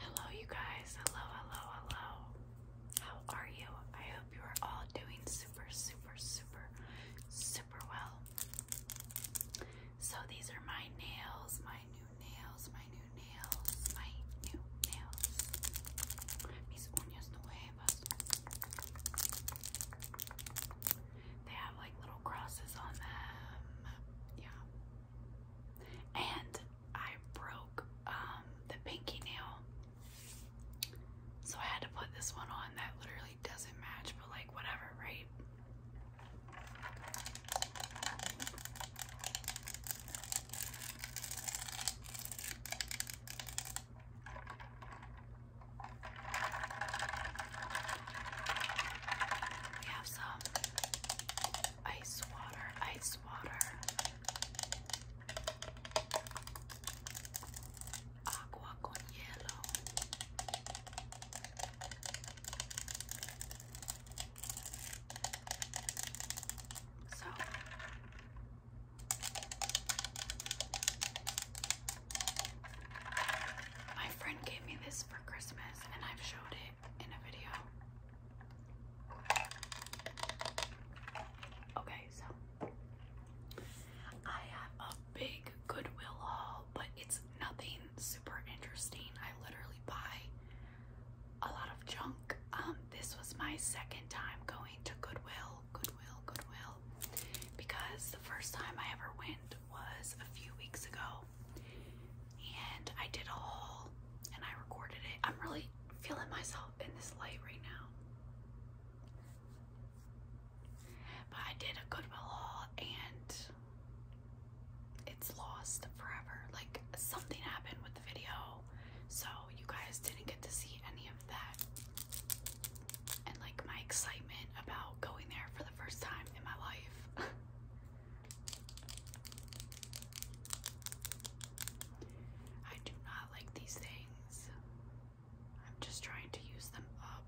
Hello, you guys. Hello, hello, hello. How are you? I hope you are all doing super, super, super, super well. So, these are my nails, my new nails, my new nails, my new nails. Mis uñas nuevas. They have like little crosses on them. Yeah and I broke um, the pinky nail. So I had to put this one on that literally doesn't match, but like whatever, right? We have some ice water, ice water, agua con hielo. So. My friend gave me this for Christmas and I've showed it in a video. Okay, so I have a big Goodwill haul, but it's nothing super interesting. I literally buy a lot of junk. Um, this was my second time going to Goodwill, Goodwill, Goodwill, because the first time I ever went was a few weeks ago and I did a haul and I recorded it. I'm really feeling myself in this light right now. But I did a Goodwill haul and it's lost forever. Like something happened with the video, so you guys didn't get to see any of that. And like my excitement about going there for the first time in my life. I do not like these things. I'm just trying to use them up.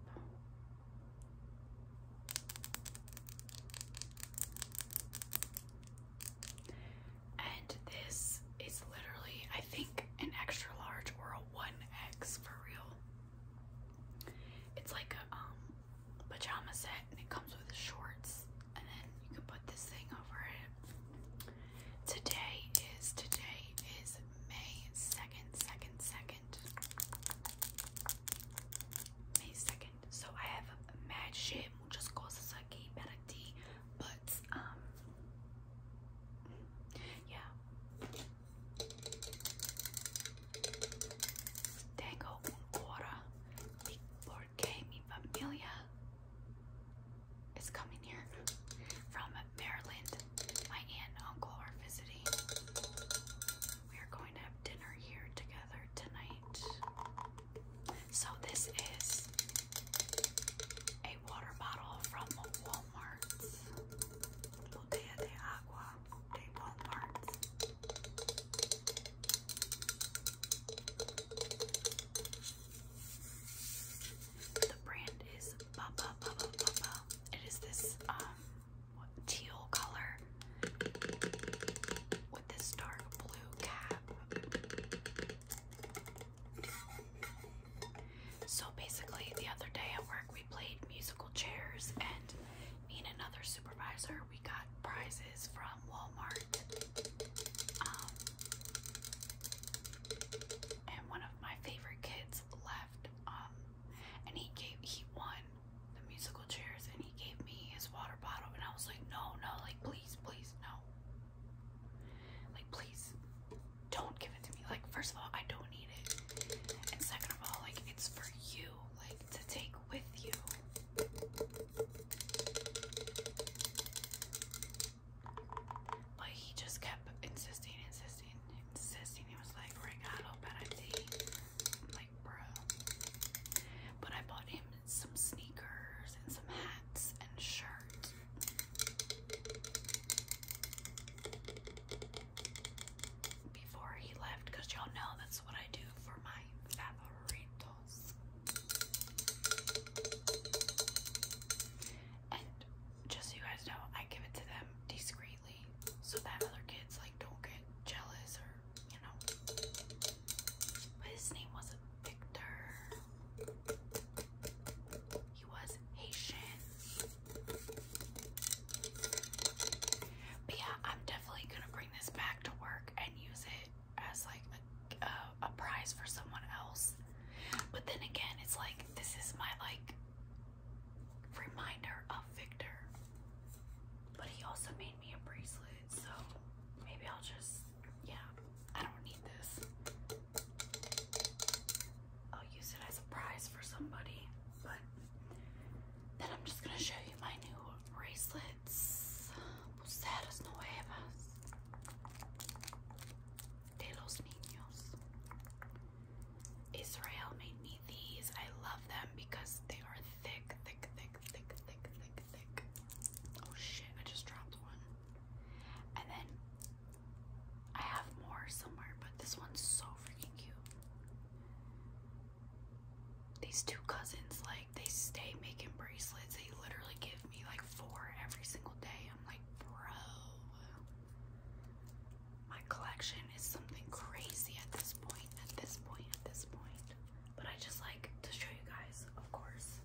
And this is literally, I think, an extra large or a 1X for real. It's like a um, pajama set and it comes with shorts and then you can put this thing over it. Today is today is May second, second, second, May second. So I have mad shit, muchas cosas aquí para ti, but um, yeah. Tengo un hora porque mi Amelia is coming here from Maryland. My aunt and uncle are visiting. We are going to have dinner here together tonight. So this is a water bottle from Walmart. Botella de agua de Walmart's. The brand is Baba Baba Baba. It is this um teal color with this dark blue cap. So basically, the other day at work, we played musical chairs, and me and another supervisor, we got prizes from Walmart. Um, and one of my favorite kids left, um, and he gave he won the musical chairs, and he gave me his water bottle, and I was like, no, no, like please, please, no, like please, don't give it to me. Like first of all, I don't need it, and second of all, like it's for you, like to take with you. But he just kept insisting, insisting, insisting. He was like, regalo para ti. I'm like, bruh. But I bought him some sneakers and some hats and a Before he left, because y'all know that's what I do for my favorito. And just so you guys know, I give it to them discreetly so that other kids like don't get jealous or you know. But his name was Victor. He was Haitian. But yeah, I'm definitely gonna bring this back to work and use it as like a, uh, a, prize for someone else. But then again, it's like this is my like reminder of Victor. But he also made me a bracelet, so maybe I'll just yeah, I don't need this. I'll use it as a prize for somebody, but then I'm just gonna show you my new bracelet. Let's. Pulseras nuevas de los niños. Israel made me these. I love them because they are thick, thick, thick, thick, thick, thick, thick. Oh shit, I just dropped one. And then I have more somewhere, but this one's so freaking cute. These two cousins, like, they stay making bracelets. They literally give me like four every single day. I'm like, bro, my collection is something crazy at this point. At this point. At this point. But I just like to show you guys, of course,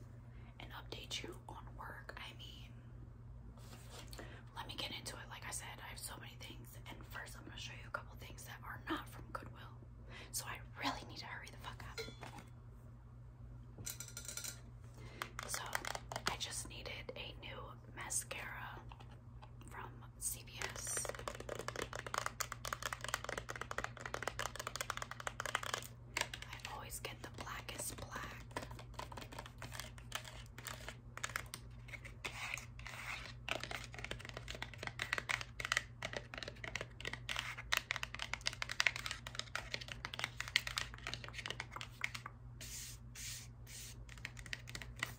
and update you on work. I mean, let me get into it. Like I said, I have so many things, and first I'm gonna show you a couple things that are not from Goodwill. So I really need to hurry the fuck up. So I just needed a new mascara from CVS. I always get the blackest black.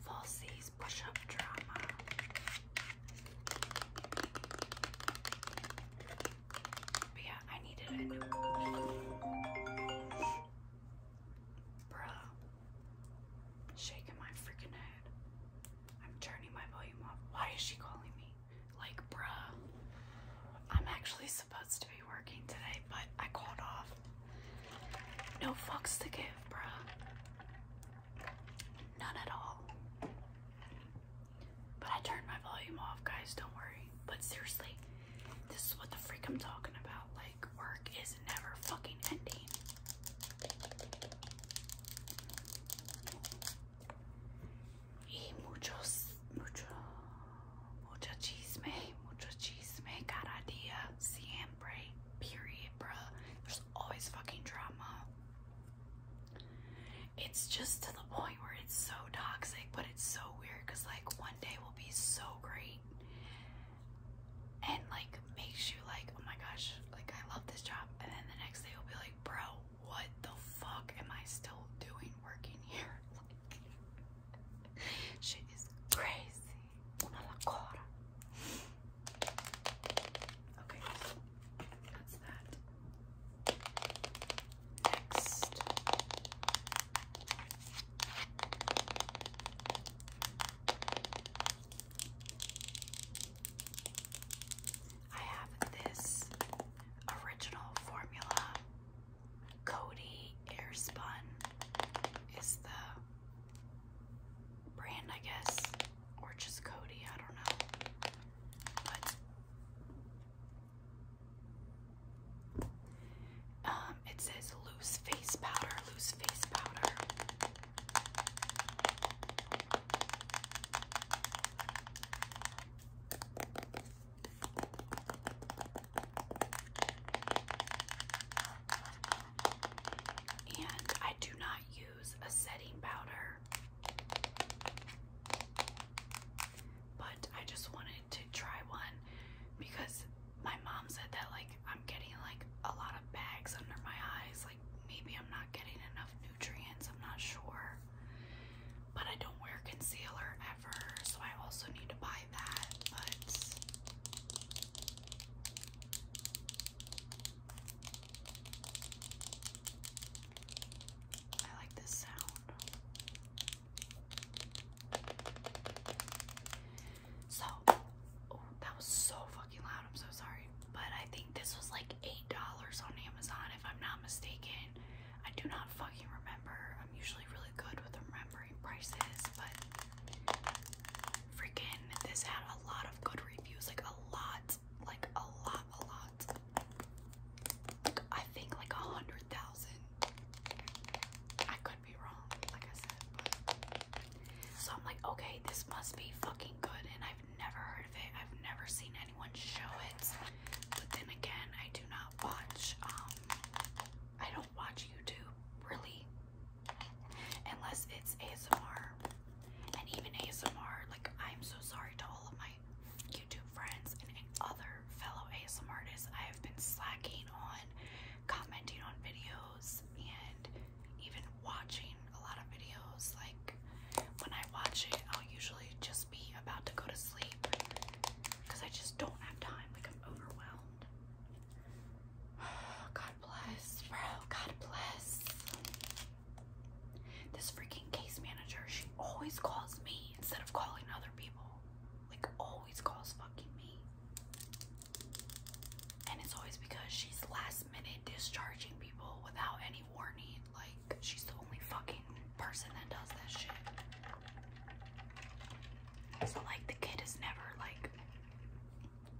Falsies push up drama. yeah, I needed it. Bruh. Shaking my freaking head. I'm turning my volume off. Why is she calling me? Like, bruh, I'm actually supposed to be working today, but I called off. No fucks to give, bruh. None at all. But I turned my volume off, guys, don't worry. But seriously, this is what the freak I'm talking about. Like, work is never fucking ending y muchos, mucho, mucho chisme, mucho chisme cada día, siempre, period, bruh. There's always fucking drama. It's just to the point where it's so toxic, but it's so weird because, like, one day will be so great and, like, makes you, like, oh my gosh, like, I love this job. And then the next day will be like, bro, what the fuck am I still doing working here? shit is crazy. Okay, that's that. Next. I have this original formula. Cody Airspun is the brand, I guess, or just Cody, I don't know. um, it says loose face powder, loose face powder. And I do not use a setting powder, but I just wanted to try one because my mom said that like I'm getting like a lot of bags under my eyes, like maybe I'm not getting enough nutrients, I'm not sure but I don't wear concealer ever, so I also need to buy that. But I like this sound. So, oh, that was so fucking loud. I'm so sorry. But I think this was like $8 on Amazon, if I'm not mistaken. I do not fucking remember. I'm usually really good with remembering prices, but freaking this had a lot of good reviews. Like a lot, like a lot, a lot. Like I think like a hundred thousand. I could be wrong, like I said, but so I'm like, okay, this must be fucking good, and I've never heard of it. I've never seen anyone show it. But then again, I do not watch, um, I don't watch YouTube really unless it's ASMR. And even ASMR, like, I'm so sorry to all of my YouTube friends and other fellow ASMR artists. I have been slacking on commenting on videos and even watching a lot of videos. Like, when I watch it, I'll usually just be about to go to sleep because I just don't have time. Like I'm overwhelmed. God bless, bro. God bless. This freaking case manager, she always calls me instead of calling other people. Like always calls fucking me. And it's always because she's last minute discharging people without any warning. Like, she's the only fucking person that does that shit. So, like, the kid is never, like,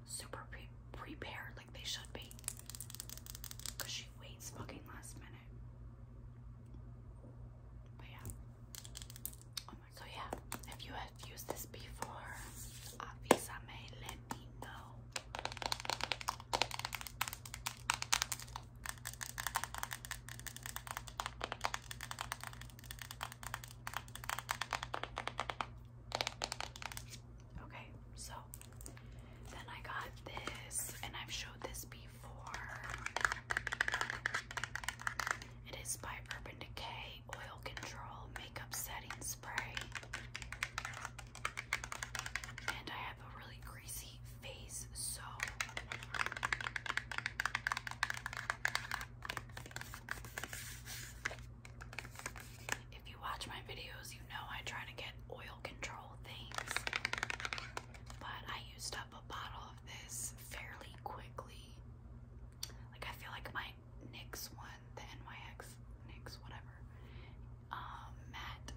super pre prepared like they should be. Because she waits fucking last minute. But, yeah. Oh so, yeah, if you have used this before, obviously, let me know. Okay, so then I got this, and I've showed this before. It is by Urban Decay Oil Control Makeup Setting Spray. And I have a really greasy face, so if you watch my videos, you know I try to get oil control things, but I used up a bottle of this fairly quickly. Like, I feel like my NYX one, the NYX, NYX, whatever, um, matte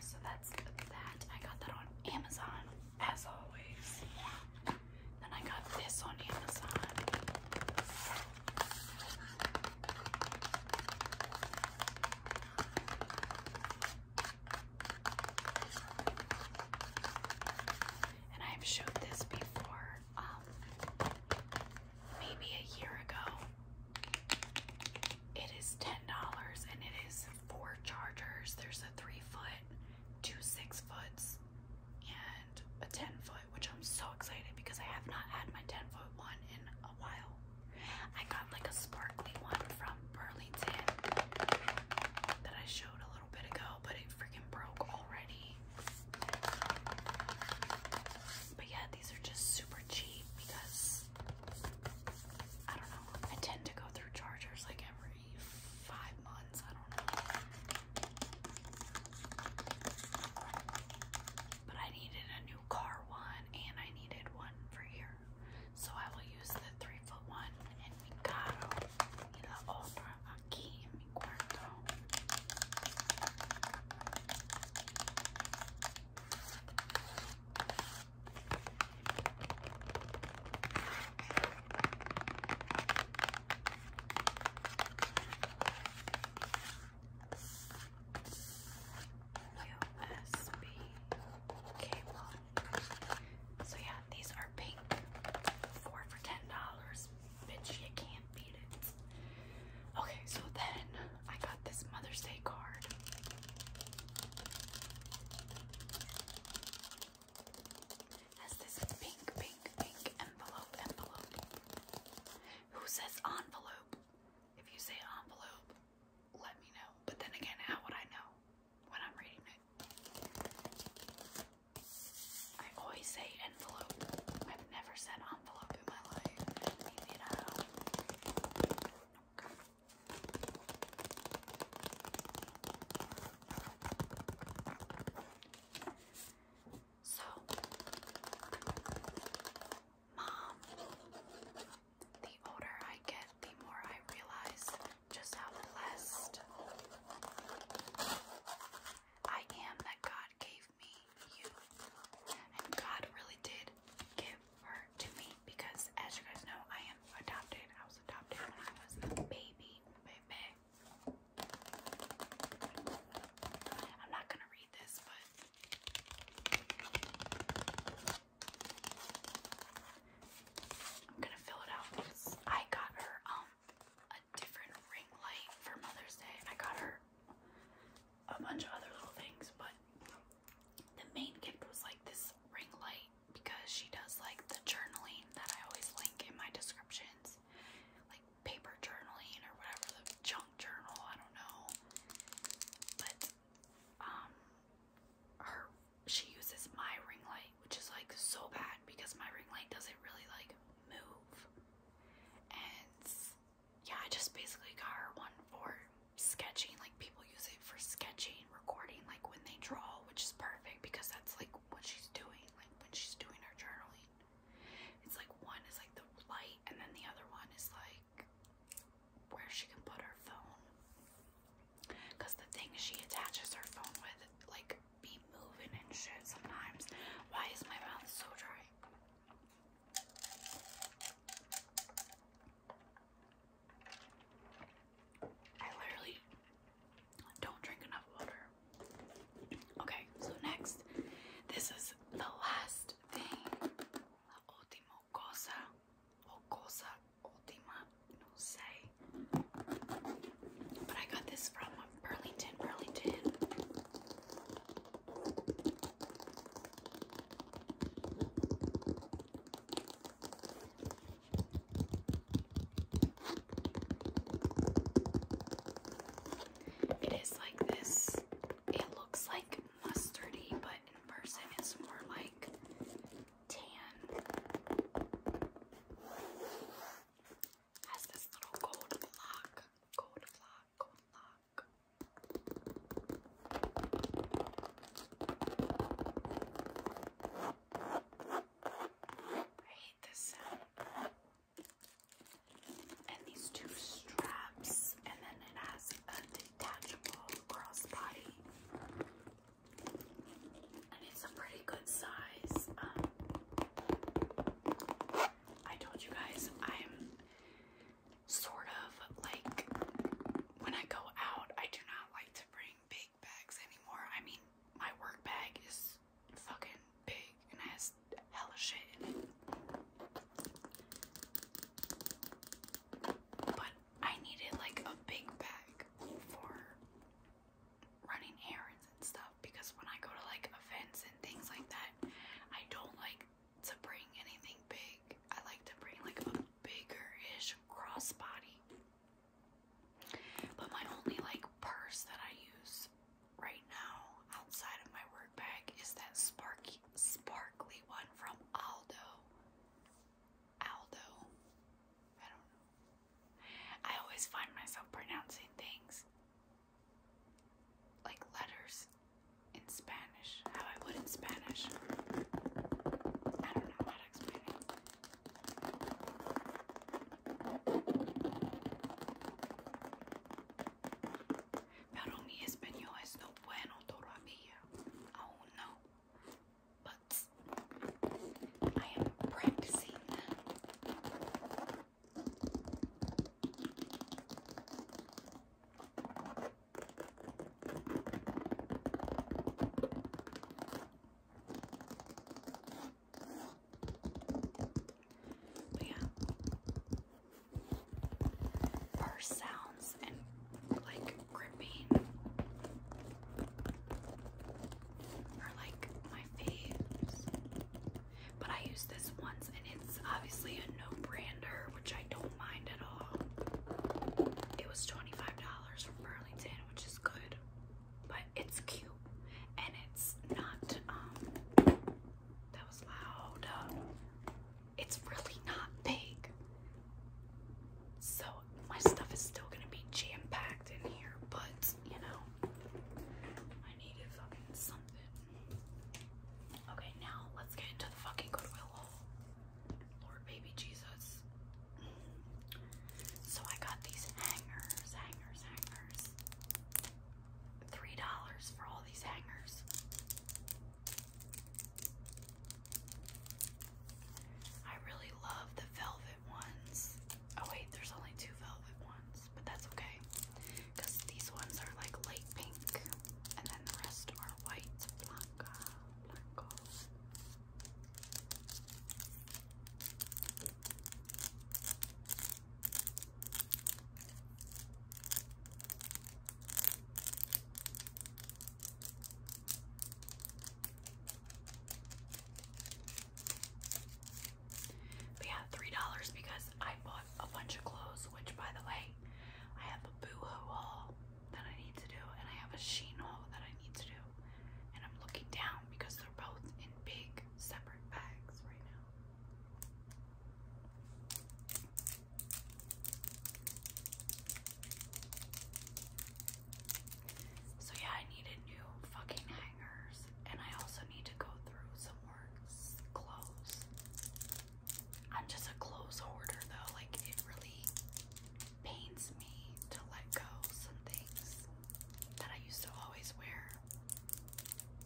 So that's that. I got that on Amazon, as always. Then I got this on Amazon. And I've showed this before. Um, maybe a year ago. It is $10 and it is four chargers. There's a three foot, two six foots, and a 10 foot, which I'm so excited because I have not had my 10 foot one in a while. I got like a sparkly one from Burlington that I showed a little bit ago, but it freaking broke already. But yeah, these are just super cheap because I don't know. I tend to go through chargers like every five months. I don't know. But I needed a new car one and I needed one for here. So I will use the three foot one and mi carro y la otra aquí en mi cuarto. USB cable. So yeah, these are pink. Four for ten dollars. Bitch, you can't beat it. Okay, so then I got this Mother's Day card. has this pink, pink, pink envelope, envelope. Who says envelope? If you say envelope, let me know. But then again, how would I know when I'm reading it? I always say envelope. I've never said envelope in my life. Leave it so, Mom, the older I get, the more I realize just how blessed I am that God gave me you. And God really did give to me because as you guys know I am adopted. I was adopted when I was a baby, baby. I'm not gonna read this, but I'm gonna fill it out I got her um a different ring light for Mother's Day. I got her a bunch of other little things, but the main gift was like this ring light because she does like the journaling that I always link in my descriptions, like paper journaling or whatever the junk journal. I don't know, but um, her she uses my ring light, which is like so bad because my ring light doesn't really like move, and yeah, I just basically got her one for sketching. Like people use it for sketching, recording, like when they draw, which is perfect because that's like what she's doing. Like when she's doing her journaling, it's like one is like the light, and then the other one is like where she can put her phone. Cause the thing she attaches her phone with, like be moving and shit sometimes. Why is my mouth so dry? I literally don't drink enough water. Okay, so next, this is the last thing. última cosa, cosa última, no sé. But I got this from Burlington, Burlington. It is like this. It looks like mustardy, but in person it's more like tan. Has this little gold block, gold block, gold block. I hate this sound. And these two straps, and then it has a detachable crossbody. And it's a pretty good size. Um, I told you guys I'm sort of like when I go out, I do not like to bring big bags anymore. I mean, my work bag is fucking big and has hella shit in it. But I needed like a big bag for running errands and stuff because when I go to like events and things like that, I don't like to bring anything big. I like to bring like a bigger-ish crossbody. But my only like purse that I use right now outside of my work bag is that sparky sparkly one from Aldo. Aldo. I don't I always find myself pronouncing things like letters in Spanish. How I would in Spanish. I don't know how to explain it. Pero mi español es no bueno todavía. Oh no. But I am practicing yeah, purse sounds and like gripping are like my faves. But I used this once, and it's obviously a no brander, which I don't mind at all. It was $25 from Burlington, which is good, but it's cute and it's not, um, that was loud. it's really not big. So my stuff is still gonna be jam packed in here, but you know, I needed something. Okay, now let's get into the fucking Goodwill Lord baby Jesus. So I got these hangers, hangers, hangers. Three dollars for all these hangers. I really love the velvet ones. Oh wait, there's only two velvet ones, but that's okay. Because these ones are like light pink, and then the rest are white blanca black gold. three dollars because I bought a bunch of clothes, which by the way, I have a boo-hoo wall that I need to do, and I have a sheen chino that I need to do. And I'm looking down because they're both in big separate bags right now. So yeah, I needed new fucking hangers, and I also need to go through some more clothes. I'm just a clothes hoarder though, like it really pains me to let go some things that I used to always wear,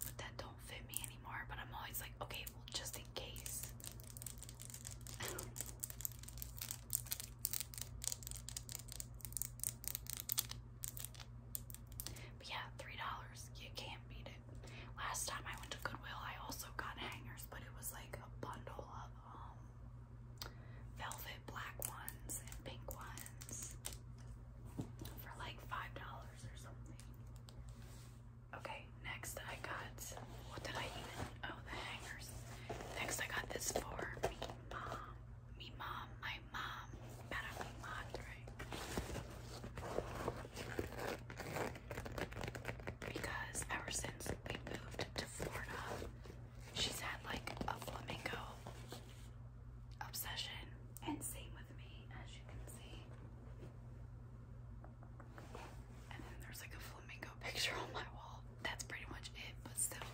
but that don't fit me anymore. But I'm always like, okay, well, just in case. but yeah, three dollars. You can't beat it. Last time I went to Goodwill, I also got hangers, but it was like a bundle of um velvet black ones and pink ones for like five dollars or something. Okay, next I got what did I even oh the hangers. Next I got this for me mom. Me mom, my mom, para mi madre. Because ever since we moved to she's had like a flamingo obsession, and same with me, as you can see. And then there's like a flamingo picture on my wall. That's pretty much it, but still.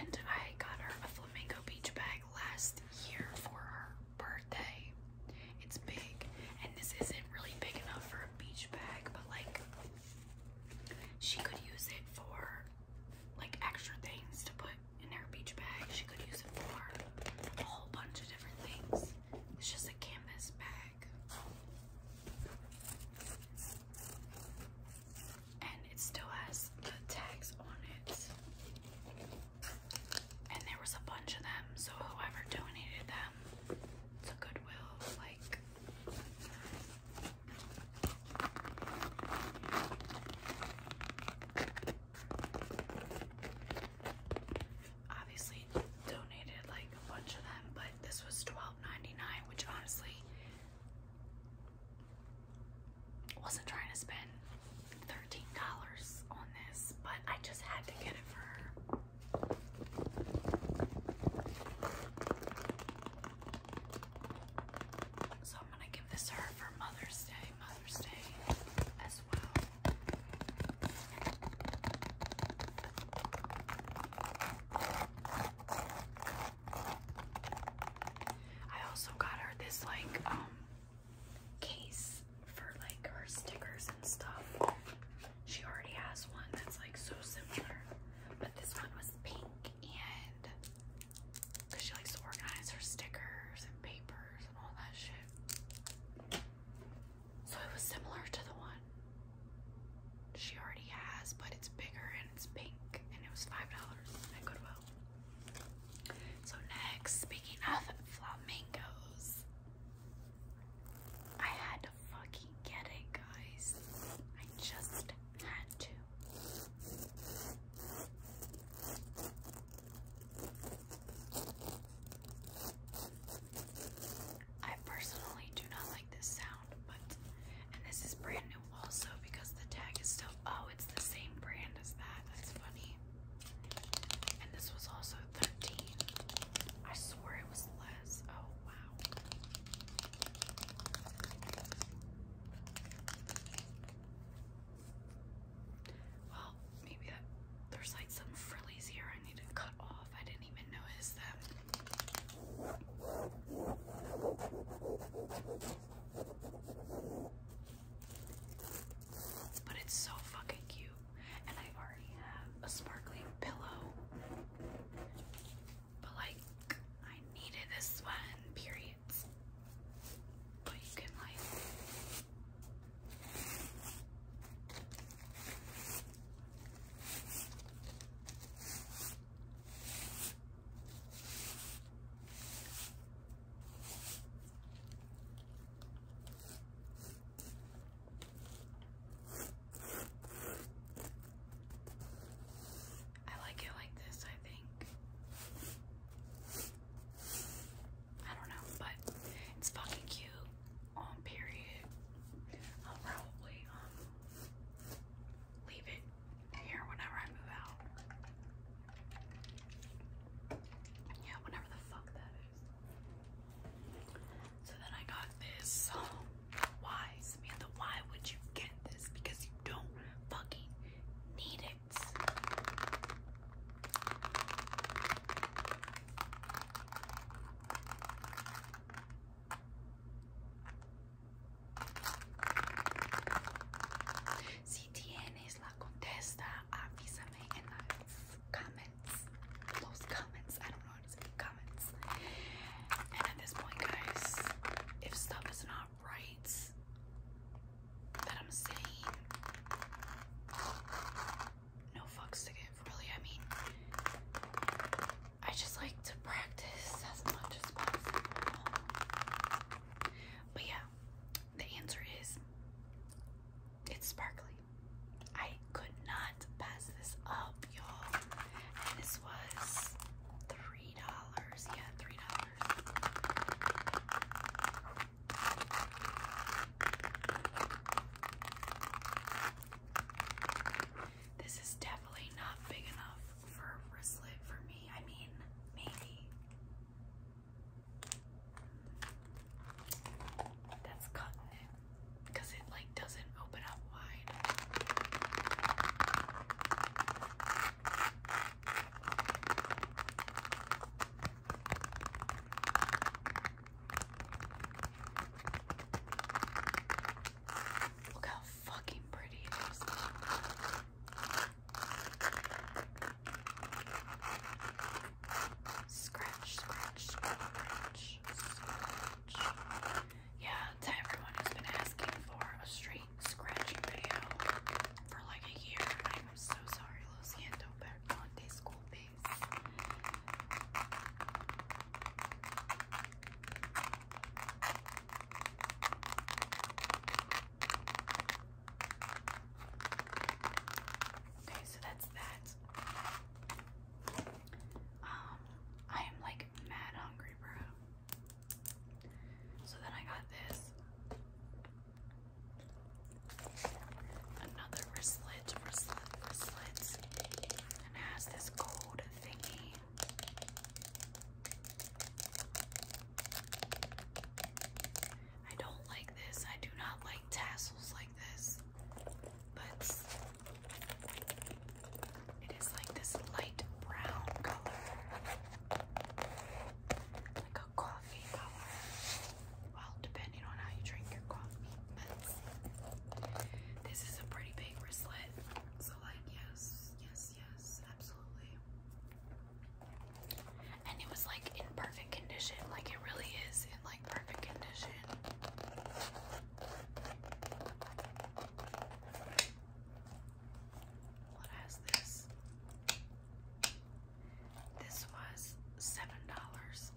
And I got her a flamingo beach bag last year for her birthday. It's big, and this isn't really big enough for a beach bag, but like she could use it for like extra things to put in her beach bag. She could use it for a whole bunch of different things. It's just a canvas bag. And it still has the tags on it and there was a bunch of them, so whoever donated them to Goodwill, like obviously donated like a bunch of them, but this was $12.99, which honestly wasn't trying to spend $13 on this, but I just had to get it for her. So I'm gonna give this her for Mother's Day, Mother's Day as well. I also got her this like um case for like her stickers and stuff. She already has one that's like so similar, but this one was pink and because she likes to organize her stickers and papers and all that shit. So it was similar to the one she already has, but it's bigger and it's pink, and it was $5 at Goodwill. So next, speaking of flamingos, I had to fucking get it, guys. I just had to. I personally do not like this sound, but and this is brand new also because the tag is still oh, it's the same brand as that. That's funny. And this was also thirteen. I swore it was less. Oh wow. Well, maybe that there's like some frillies here I need to cut off. I didn't even notice them. But it's so fucking cute. And I already have a sparkling pillow. But like, I needed this one, periods. But you can like I like it like this, I think. I don't know, but it's fucking cute. On um, period. I'll probably um leave it here whenever I move out. Yeah, whenever the fuck that is. So then I got this. Um, why, Samantha? Why would you get this? Because you don't fucking need it. Si tienes la contesta, avísame en las comments. Those comments. I don't know how to speak comments. And at this point, guys, if stuff is not right that I'm saying, no fucks to give, really. I mean, I just like to practice as much as possible. But yeah, the answer is it's sparkly. I could not pass this up, y'all. And this was three dollars. Yeah, three dollars. This is definitely not big enough for a wristlet for me. I mean, maybe. That's cutting it because it like doesn't open up wide. Look how fucking pretty it is. Scratch, scratch, scratch, scratch. Yeah, to everyone who's been asking for a straight scratching video for like a year. I'm so sorry, Lo Siento, but Monday school base. Okay, so that's that. Um, I am like mad hungry, bro. So then I got this. Another wristlet, wristlet, wristlet. And has this gold thingy. I don't like this. I do not like tassels like this. Let's. is like this light brown color, like a coffee color. Well, depending on how you drink your coffee, but this is a pretty big wristlet. So, like, yes, yes, yes, absolutely. And it was like in perfect condition. Like, it really is like perfect condition. What this? This was seven dollars.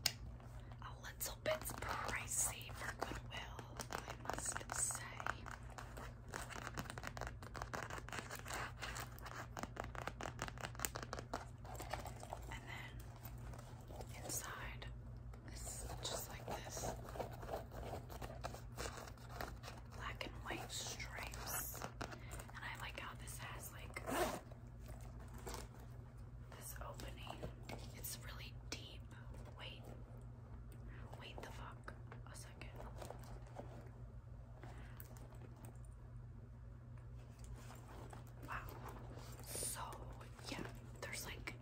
A little bit pricey for Goodwill, I must say. And then Inside is just like this black and white stripes. And I like how this has like this opening. It's really deep. Wait. Wait the fuck a second. Wow. So, yeah, there's like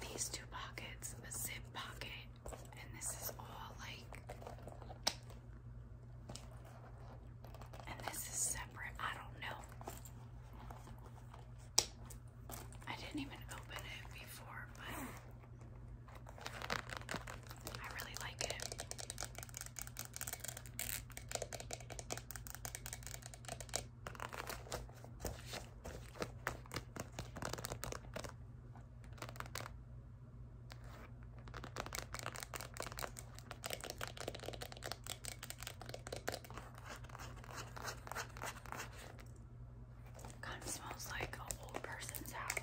these two pockets, a zip pocket, and this is all like. And this is separate. I don't know. I didn't even open it before, but I really like it. Kind of smells like an old person's house.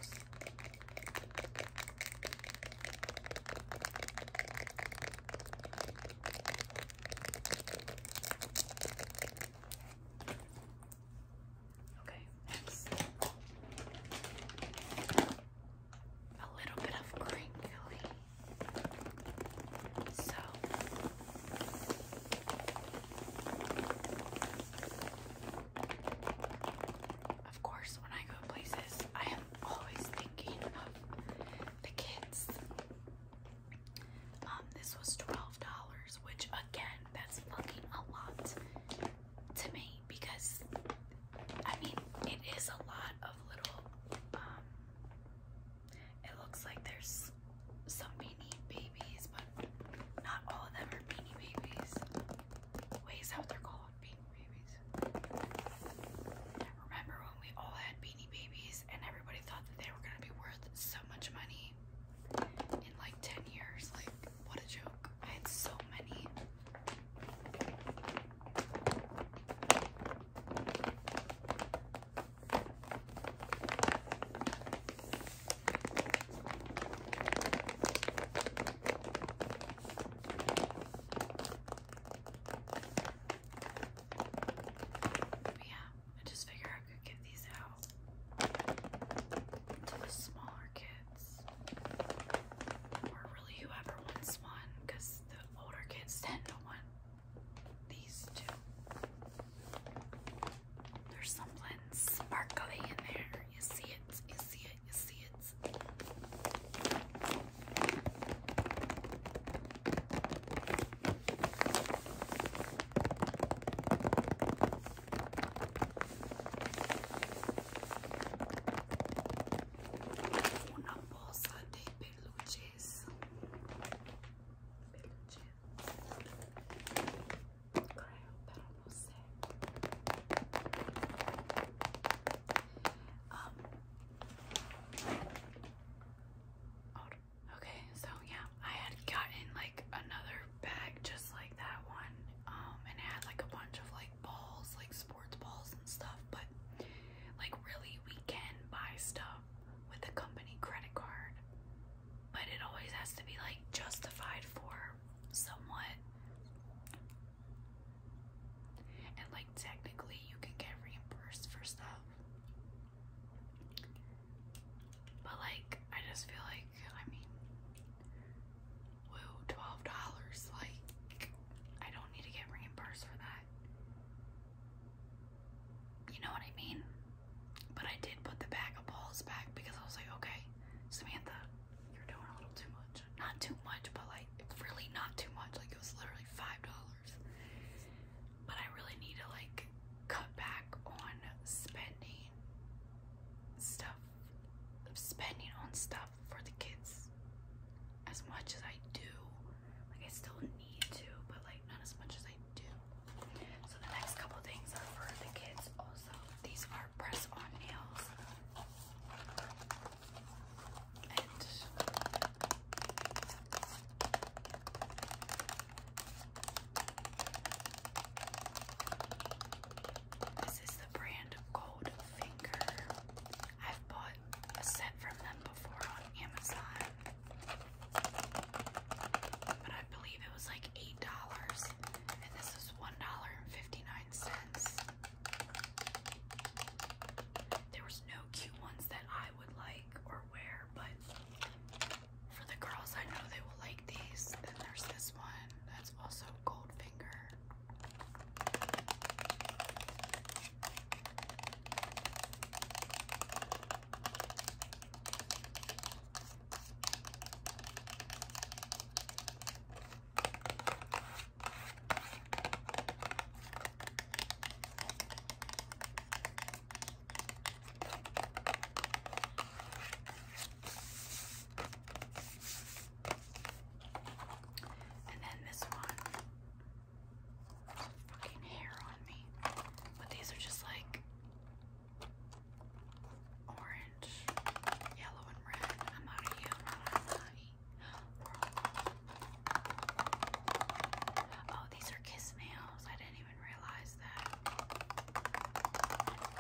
Okay, next. A little bit of crinkly. So of course when I go places I have always thinking of the kids. Um, this was twelve dollars, which again, that's fucking a lot to me because I mean it is a lot of little. Um, it looks like there's some beanie babies, but not all of them are beanie babies. Ways out they're called beanie Remember when we all had beanie babies and everybody thought that they were gonna be worth so much money in like 10 years? Like, what a joke. I had so many yeah, I just figured I could give these out to the smaller kids or really whoever wants one because the older kids tend to want these two. There's something sparkly in there. You see it, you see it, you see it. uma bolsa de peluches. Peluches. Creo para você. Okay, so yeah, I had gotten like another bag just like that one. Um, and it had like a bunch of like balls, like sports balls and stuff, but like really we can buy stuff with a company credit card. But it always has to be like justified for somewhat and like technically you can get reimbursed for stuff. But like I just feel like I mean woo, twelve dollars, like I don't need to get reimbursed for that. You know what I mean? But I did put the bag of balls back because I was like, okay, Samantha, you're doing a little too much. Not too much, but like, it's really not too much. Like, it was literally $5. But I really need to like cut back on spending stuff, spending on stuff for the kids as much as I do. Like, I still need to, but like, not as much as I do. So, the next couple things are for the kids also. These are press on nails this is the brand Goldfinger. I've bought a set from them before on Amazon, but I believe it was like eight dollars, and this is one dollar and fifty nine cents. There was no cute ones that I I would like or wear, but for the girls, I know they will like these. Then there's this one that's also Goldfinger. And then this one, fucking hair on me. But these are just like orange, yellow, and red. I'm out out of you. Oh, these are kiss nails. I didn't even realize that.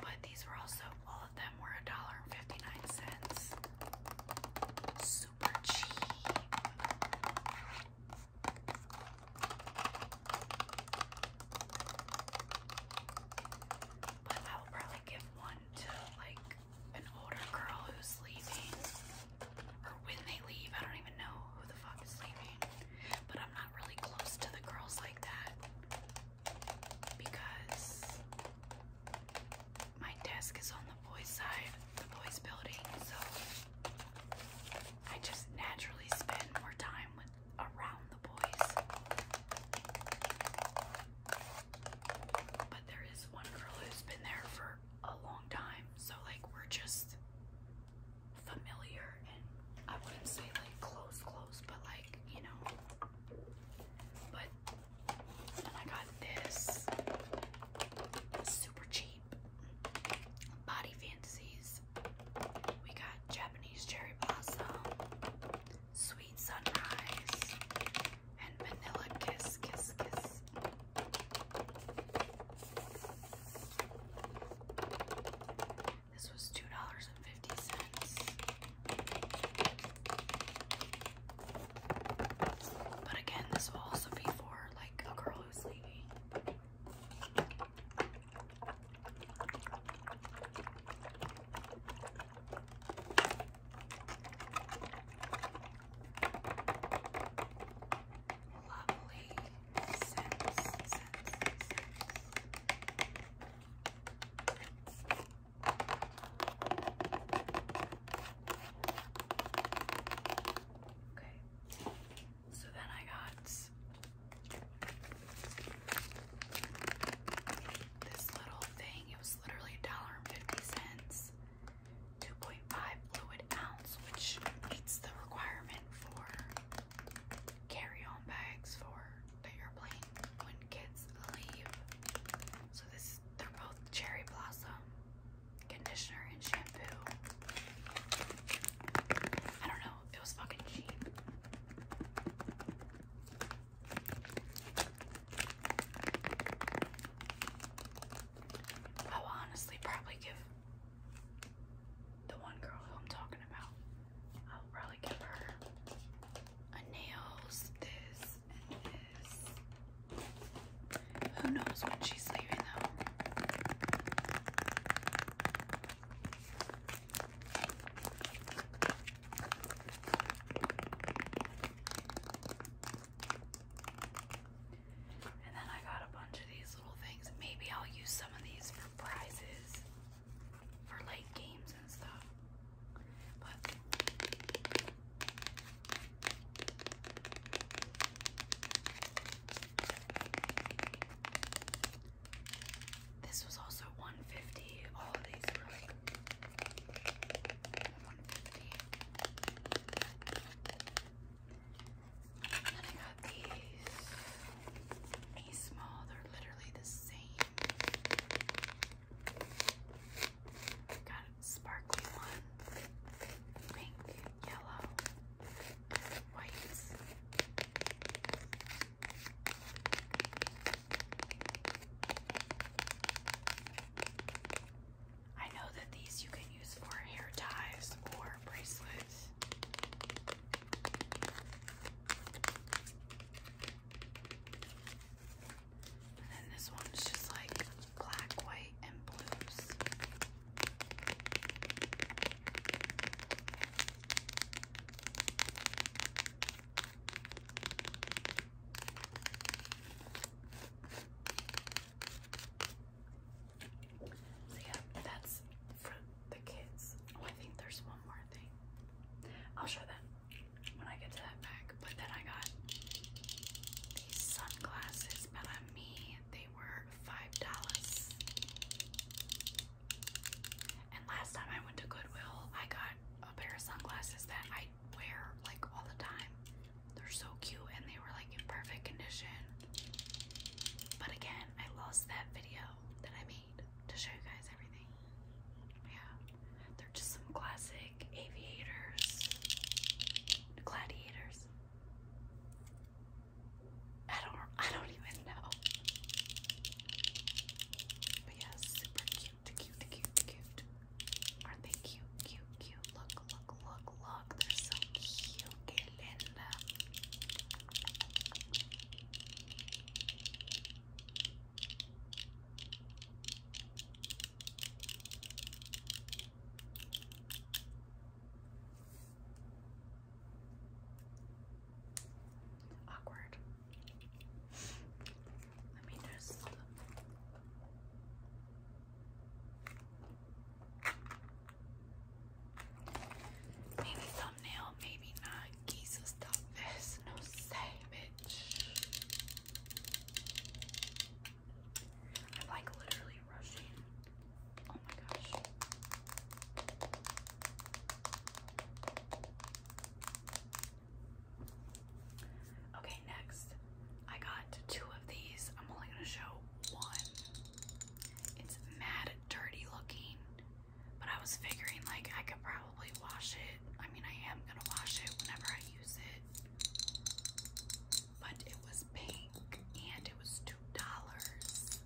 But these were also, all of them were $1.59. Super cheap. But I will probably give one to like an older girl who's leaving or when they leave. I don't even know who the fuck is leaving, but I'm not really close to the girls like that because my desk is on the boys' side, the boys' building, so I just naturally spend more time with around the boys. But there is one girl who's been there for a long time, so like we're just familiar and I wouldn't say like close, close, but like you know. But and I got this super cheap Body Fantasies. We got Japanese cherry blossom, sweet sunrise, and vanilla kiss, kiss, kiss this. was two dollars and fifty cents, but again, this will also be for like a girl who's leaving lovely Okay, so then I got this little thing. It was literally a dollar and fifty cents. 2.5 fluid ounce, which meets the requirement for carry-on bags for the airplane when kids leave. So this they're both cherry blossom conditioner and shampoo. I don't know, it was fucking cheap. I will honestly probably give the one girl who I'm talking about, I'll probably give her a nails, this, and this. Who knows when she's leaving though? And then I got a bunch of these little things. Maybe I'll use some of these for prizes for late games and stuff. But this was also 150. All of these were 150. Then I got these a small, they're literally the same. Got sparkly one, pink, yellow, white. I know that these you can use for hair ties or bracelets. And this one's just like black, white, and blues. So yeah, that's for the kids. Oh, I think there's one more thing. I'll show them when I get to that bag. But then I got these sunglasses, me, they were five dollars. And last time I went to Goodwill, I got a pair of sunglasses that I wear like all the time. They're so cute and they were like in perfect condition. But again, I lost that video that I made to show you guys everything. Yeah. They're just some classic aviators. Gladiators. I don't I don't even know. But yeah, super cute, cute, cute, cute. are they cute, cute? Look, look, look, look. They're so cute. linda. Awkward. Let me just. Maybe thumbnail, maybe not. Geese stop this. No say, bitch. I'm like literally rushing. Oh my gosh. Okay, next. I got two of these. I'm only gonna show one. It's mad dirty looking, but I was figuring like I could probably wash it. I mean, I am gonna wash it whenever I use it. But it was pink and it was two dollars.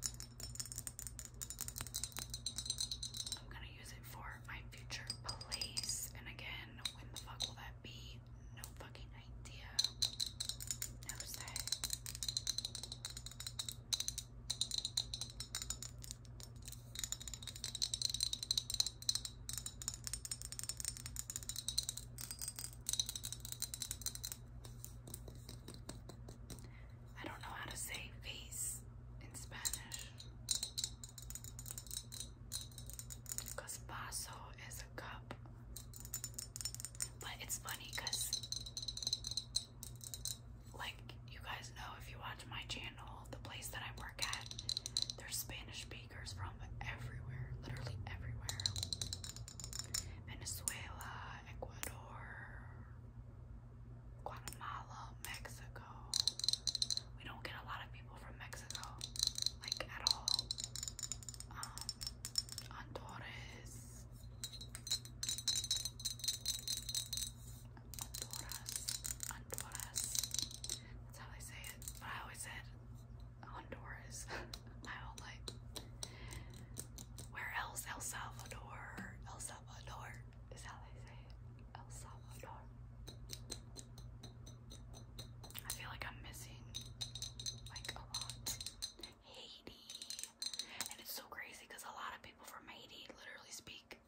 I'm gonna use it for my future place. And again, when the fuck will that be? No fucking idea. How was I don't know how to say face in Spanish. Because vaso is a cup but it's funny because, like, you guys know if you watch my channel, the place that I work at, there's Spanish speakers from everywhere, literally everywhere Venezuela, Ecuador, Guatemala, Mexico. We don't get a lot of people from Mexico, like, at all. Um, Andorres. Honduras, Honduras. That's how they say it. But I always said Honduras my whole life. Where else? El Salvador. El Salvador is how they say it. El Salvador. I feel like I'm missing like a lot. Haiti. And it's so crazy because a lot of people from Haiti literally speak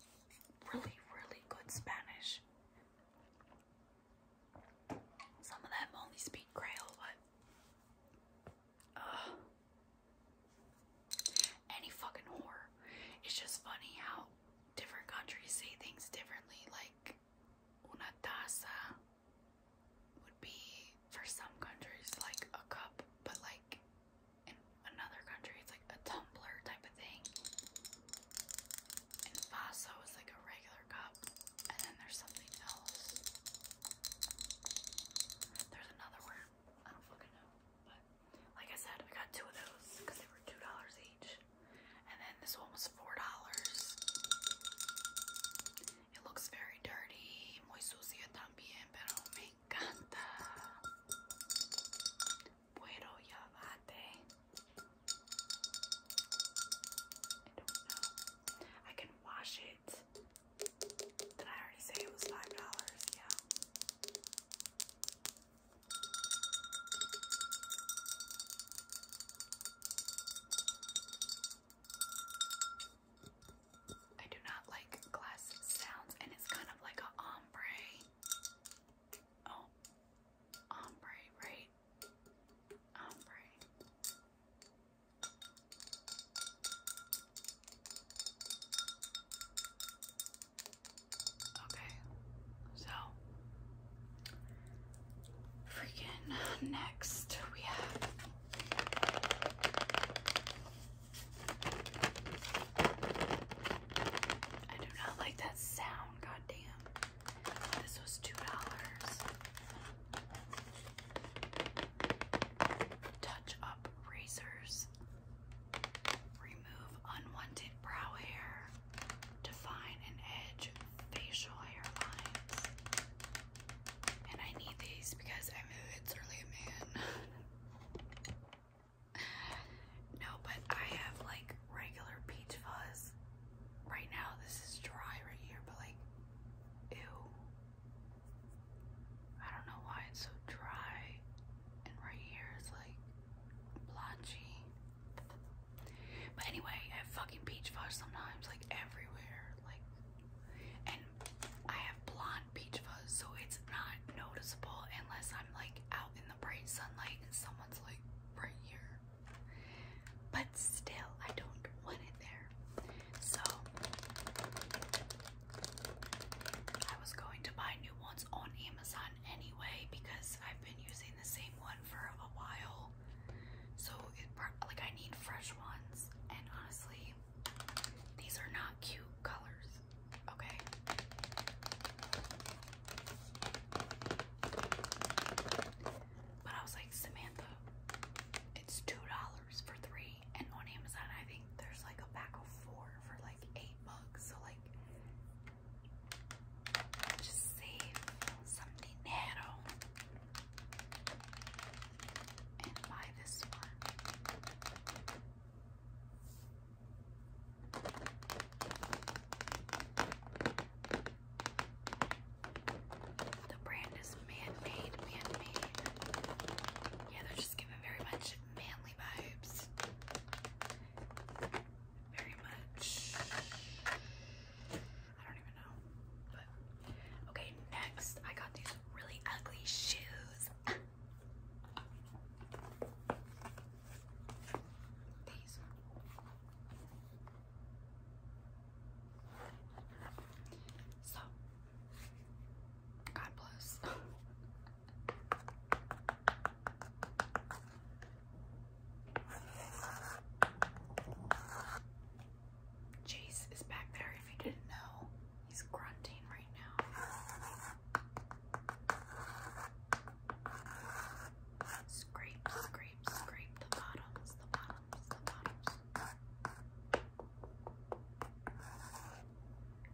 really, really good Spanish. Some of them only speak Creole, but. Any fucking whore. It's just funny how different countries say things differently, like una tasa would be for some countries like a cup, but like in another country it's like a tumbler type of thing. And vaso is like a regular cup, and then there's something else. There's another word. I don't fucking know. But like I said, I got two of those because they were two dollars each. And then this one was four dollars. It looks very dirty, muy sucio también, pero me encanta. Puedo llevarte. I don't know. I can wash it. Did I already say it was $5? Yeah. I do not like glass sounds, and it's kind of like a ombre. Oh, ombre, right? Ombre. Okay, so freaking next we have I do not like that sound, goddamn. This was two dollars. Touch up razors. Remove unwanted brow hair. Define and edge facial hairlines. And I need these because I'm a really man. no, but I have like regular peach fuzz. Right now, this is dry right here, but like, ew. I don't know why it's so dry. And right here is like blotchy. But anyway, I fucking peach fuzz sometimes, like everywhere. Like, and I have blonde peach fuzz, so it's not noticeable unless I'm like out in the bright sunlight and someone's like right here. But still, I don't want it there. So I was going to buy new ones on Amazon anyway because I've been using the same one for a while. So it like I need fresh ones, and honestly, these are not cute colors, okay? But I was like, Samantha, it's $2 for three. And on Amazon, I think there's like a pack of four for like eight bucks. So like, just save some dinero and buy this one. The brand is man-made, man-made. Yeah, they're just giving very much manly vibes. Very much. I don't even know, Okay, next I got these really ugly shoes. So, God bless. Chase is back there if you didn't know. He's grunting right now. Scrape, scrape, scrape the bottoms, the bottoms, the bottoms.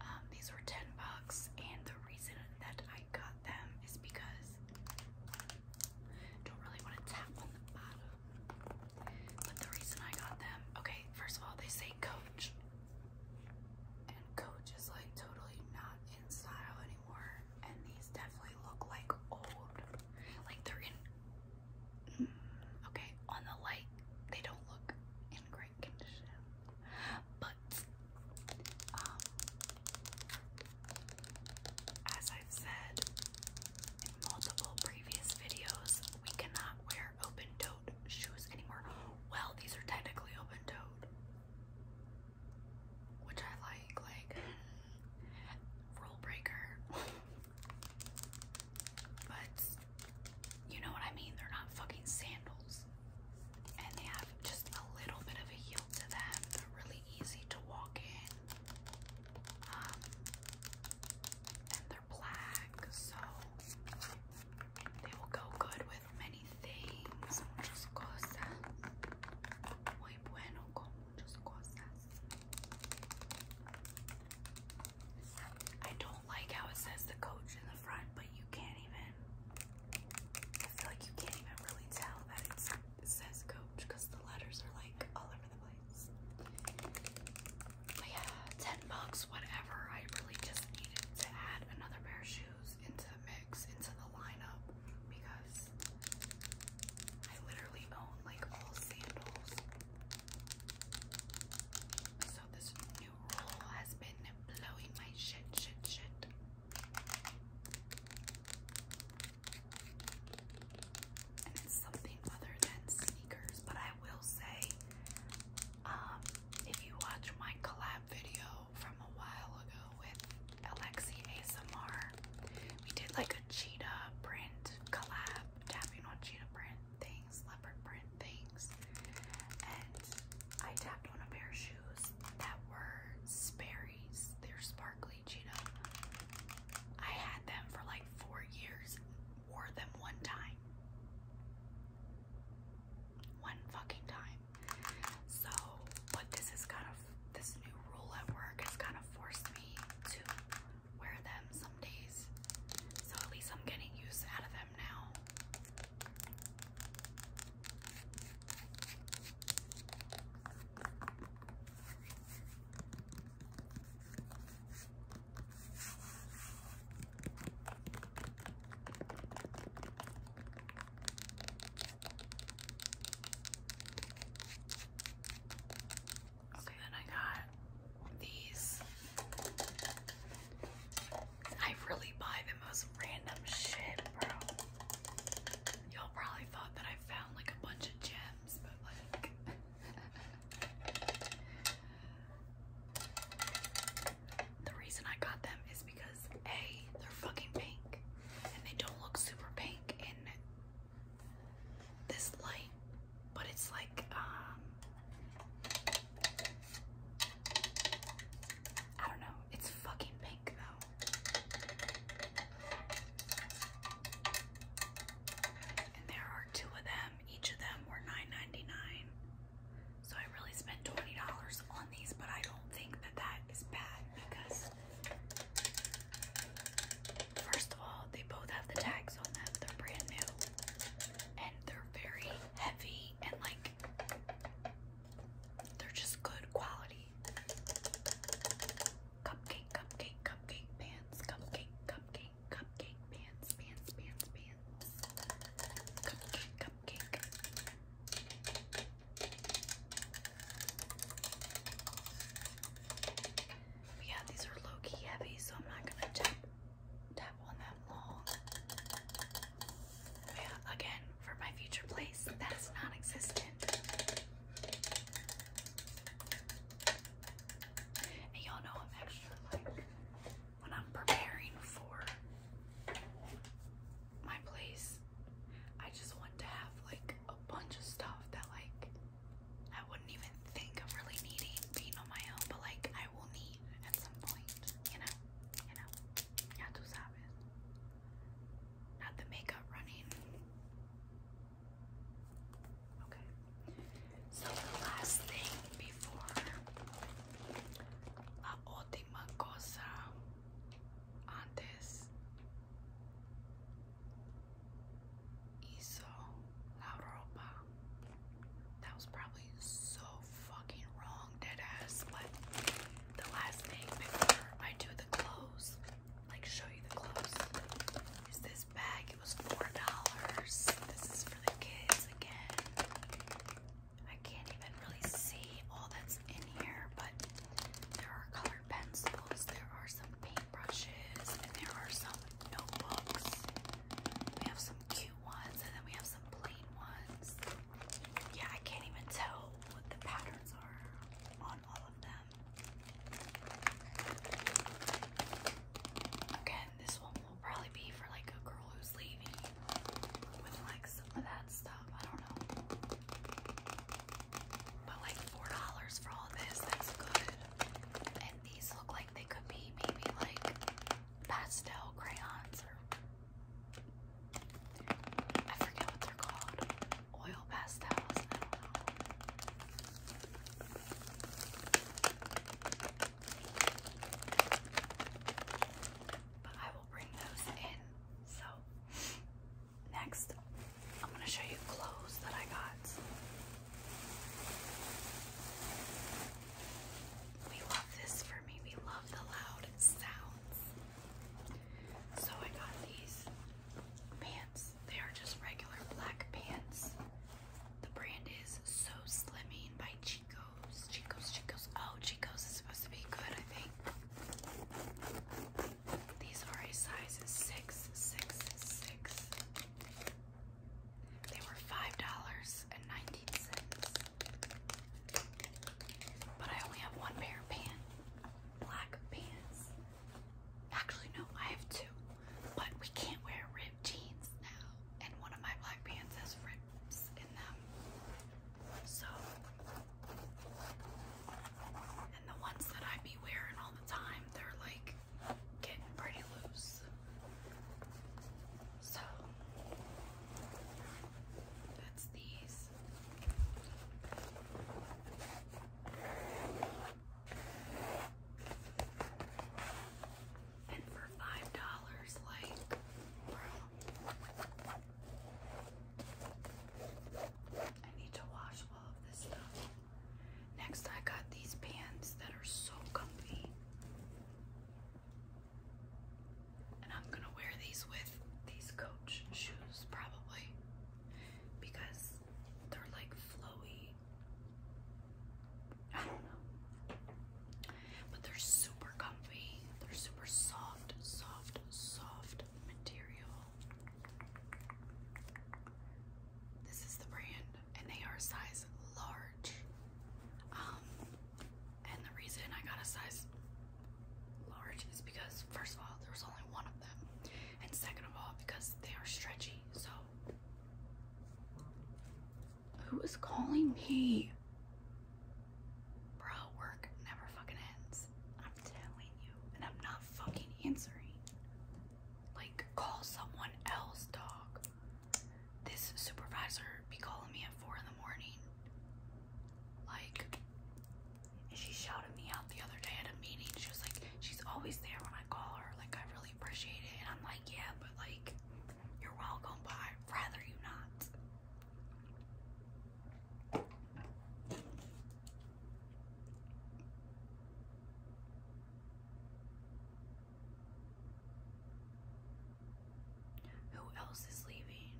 Um, these were 10 bucks, and the reason that I got them is because don't really want to tap on the bottom. But the reason I got them, okay, first of all, they say Coach. And Coach is like totally not in style anymore. And these definitely look like old. Like they're in, mm, okay, on the light, they don't look in great condition. But, um, as I've said in multiple previous videos, we cannot wear open-toed shoes anymore. Well, these are technically open-toed, which I like. Like hmm, rule breaker, but you know what I mean. They're not fucking sandals, and they have just a little bit of a heel to them. They're really easy to walk in. Um, and they're black, so they will go good with many things, muchas cosas. Muy bueno con muchas cosas. I don't like how it says the coach in the front, but you can't even. I feel like you can't even really tell that it says coach because the letters are like all over the place. 10 bucks, whatever. I really just needed to add another pair of shoes into the mix, into the lineup, because I literally own like all sandals. So this new rule has been blowing my shit, shit, shit. And it's something other than sneakers, but I will say um, if you watch my collab video from a while ago with Alexi ASMR, we did like a cheetah print collab, tapping on cheetah print things, leopard print things, and I tapped on a pair of shoes that were Sperry's. They're sparkly cheetah. I had them for like four years wore them one time. One fucking time. So, but this is kind of, this new rule at work has kind of forced me to wear them some days. So at least I'm getting use out of them now. Okay, then I got these. I really buy the most random shit, bro. Y'all probably thought that I found like a bunch of gems, but like the reason I got them is because A, they're fucking pink and they don't look super pink in this light, but it's like, um, I don't know, it's fucking pink though. And there are two of them. Each of them were nine ninety nine, dollars So I really spent $20 on these, but I don't think that that is bad because first of all, they both have the tags on them. They're brand new and they're very heavy and like they're just good quality. Cupcake, cupcake, cupcake pants, cupcake, cupcake cupcake pants, pants, pants, pants. Cupcake, cupcake. But yeah, these are low key heavy, so I'm not gonna tap tap on them long. But yeah, again, for my future place, that's non-existent. And y'all know I'm extra like when I'm preparing for my place, I just want to have like a bunch of stuff that like I wouldn't even think of really needing being on my own, but like I will need at some point, you know, you know, yeah, tú sabes. Not the makeup running. Okay. So the last thing before la última cosa antes hizo la ropa. That was probably so fucking wrong, dead ass. But the last thing before I do the clothes, like show you the clothes, is this bag. It was four dollars. This is for the kids again. I can't even really see all that's in here, but there are colored pencils, there are some paintbrushes, and there are some notebooks. We have some cute ones, and then we have some plain ones. Yeah, I can't even tell what the patterns are on all of them. Again, this will probably be for like a girl who's leaving with like some of that stuff. I don't know. But like four dollars for all this, that's good. And these look like they could be maybe like pastel crayons or I forget what they're called. Oil pastels, but I will bring those in. So, next, I'm going to show you clothes that I got. We love this for me. We love the loud sounds. So, I got these pants. They are just regular black pants. The brand is So Slimming by Chico's, Chico's, Chico's. Oh, Chico's is supposed to be good, I think. These are a size six, six, six. They were five dollars and nineteen cents. But I only have one pair of pants, black pants. Actually, no, I have two. But we can't wear ripped jeans now. And one of my black pants has ripped in them. So, and the ones that I be wearing all the time, they're like getting pretty loose. So, that's these. And for five dollars, like, bro. I need to wash all of this stuff. Next, I got these pants that are so comfy. And I'm gonna wear these with these coach shoes, probably, because they're like flowy. I don't know. But they're super comfy. They're super soft, soft, soft material. This is the brand, and they are size large. Um, and the reason I got a size large is because, first of all, there was only one of them, and second of all, because they are stretchy. So who is calling me? Bro, work never fucking ends. I'm telling you, and I'm not fucking answering. Like, call someone else, dog. This supervisor be calling me at four in the morning. Like, she shouted me out the other day at a meeting. She was like, she's always there when I call her. Like, I really appreciate it. And I'm like, yeah, but like, you're welcome, but rather you not. Who else is leaving?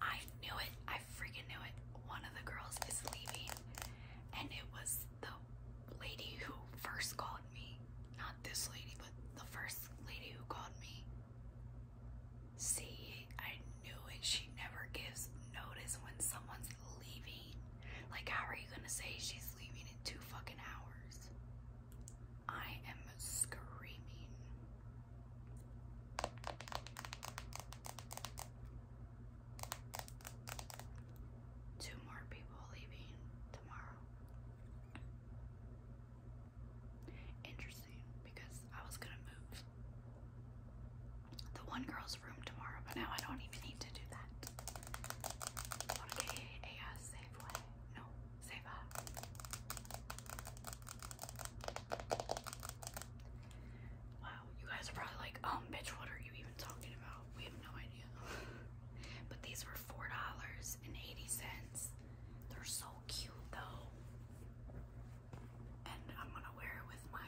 I knew it. I freaking knew it. One of the girls is leaving, and it was the lady who first called me, this lady, but the first lady who called me. See, I knew it. She never gives notice when someone's leaving. Like, how are you gonna say she's leaving in two fucking hours? I am screaming. Two more people leaving tomorrow. Interesting, because I was gonna move the one girl's room tomorrow, but now I don't even need to do that. Okay, a save No, save Wow, you guys are probably like, um, bitch, what are you even talking about? We have no idea. but these were four dollars they're so cute though. And I'm gonna wear it with my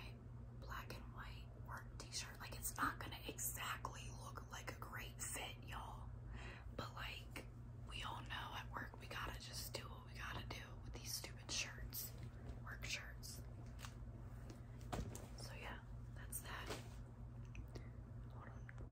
black and white work t-shirt. Like it's not gonna exactly look like a great fit, y'all. But like we all know at work we gotta just do what we gotta do with these stupid shirts. Work shirts. So yeah, that's that. Hold on.